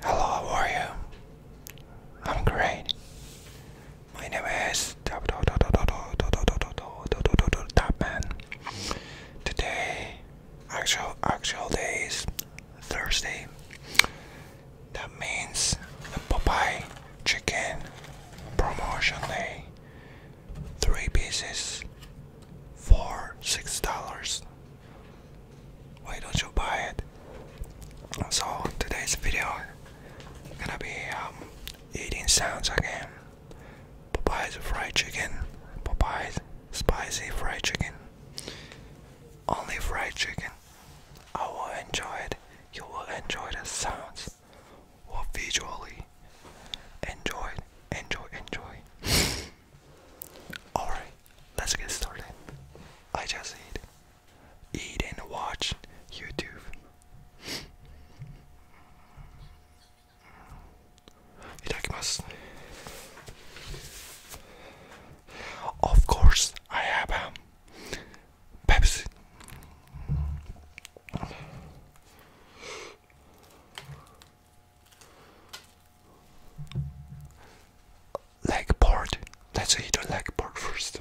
Hello, how are you? I'm great. My name is Tapman. Today, actual actual day is Thursday. That means the Popeye Chicken Promotion Day three pieces for six dollars. Why don't you buy it? So today's video gonna be um, eating sounds again. Popeye's fried chicken. Popeye's spicy fried chicken. Only fried chicken. I will enjoy it. You will enjoy the sounds. Or visually. Enjoy, enjoy, enjoy. Alright, let's get started. I just eat. Eat and watch YouTube. Itadakimasu. Of course, I have um, Pepsi. Leg part. Let's eat the leg part first.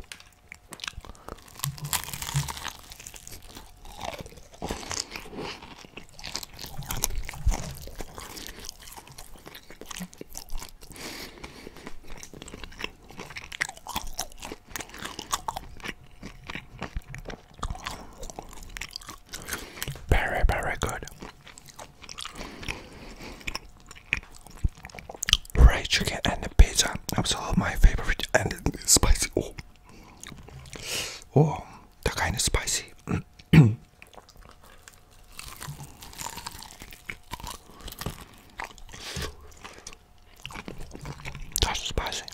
Very, very good. Fried chicken and the pizza. Absolutely my favorite and spicy. Oh, oh, that kind of spicy. That's spicy.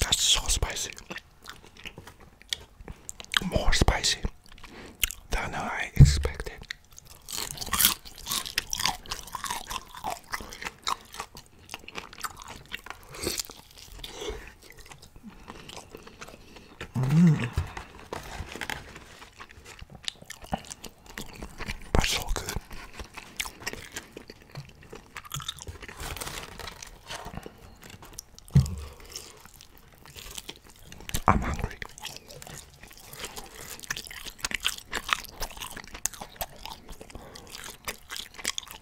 That's so spicy. More spicy than I expected. Mm. That's so good. I'm hungry.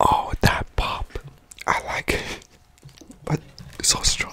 Oh, that pop. I like it. But it's so strong.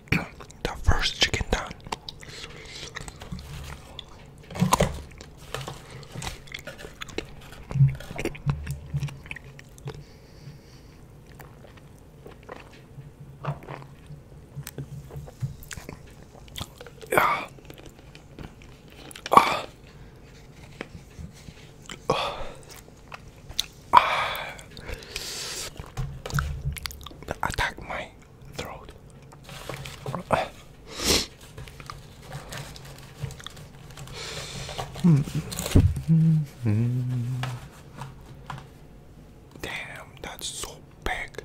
the first chicken done. Yeah. Uh. Ah. Uh. Ah. Uh. Attack my throat. Damn, that's so big.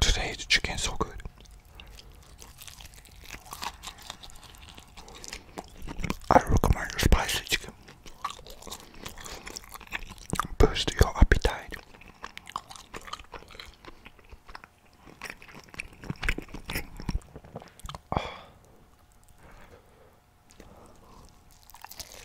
Today's chicken so good. I recommend spicy chicken. Boost your appetite.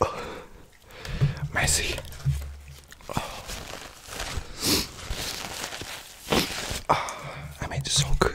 Messy. Ah, I made this so good.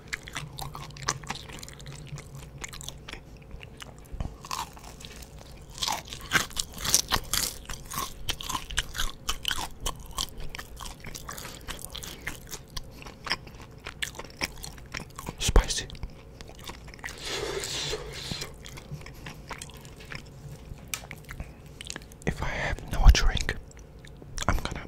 Spicy. If I have no drink, I'm gonna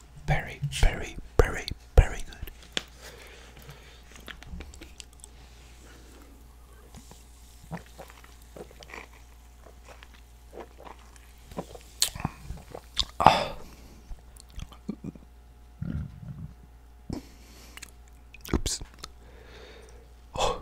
Very, very, very, very good. Ah. Oops. Oh.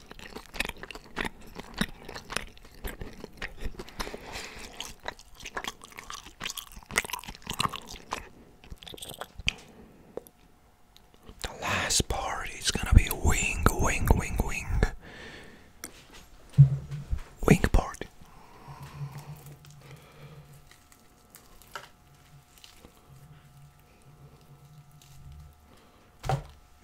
The last part is gonna be wing, wing, wing, wing. Wing part.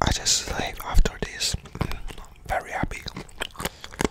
I just sleep after this. Very happy.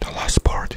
The last part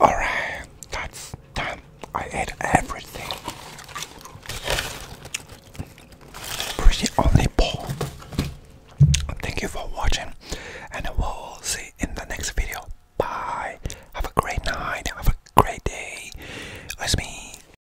All right, that's done. I ate everything. Pretty only Thank you for watching, and we'll see in the next video. Bye. Have a great night. Have a great day. It's me.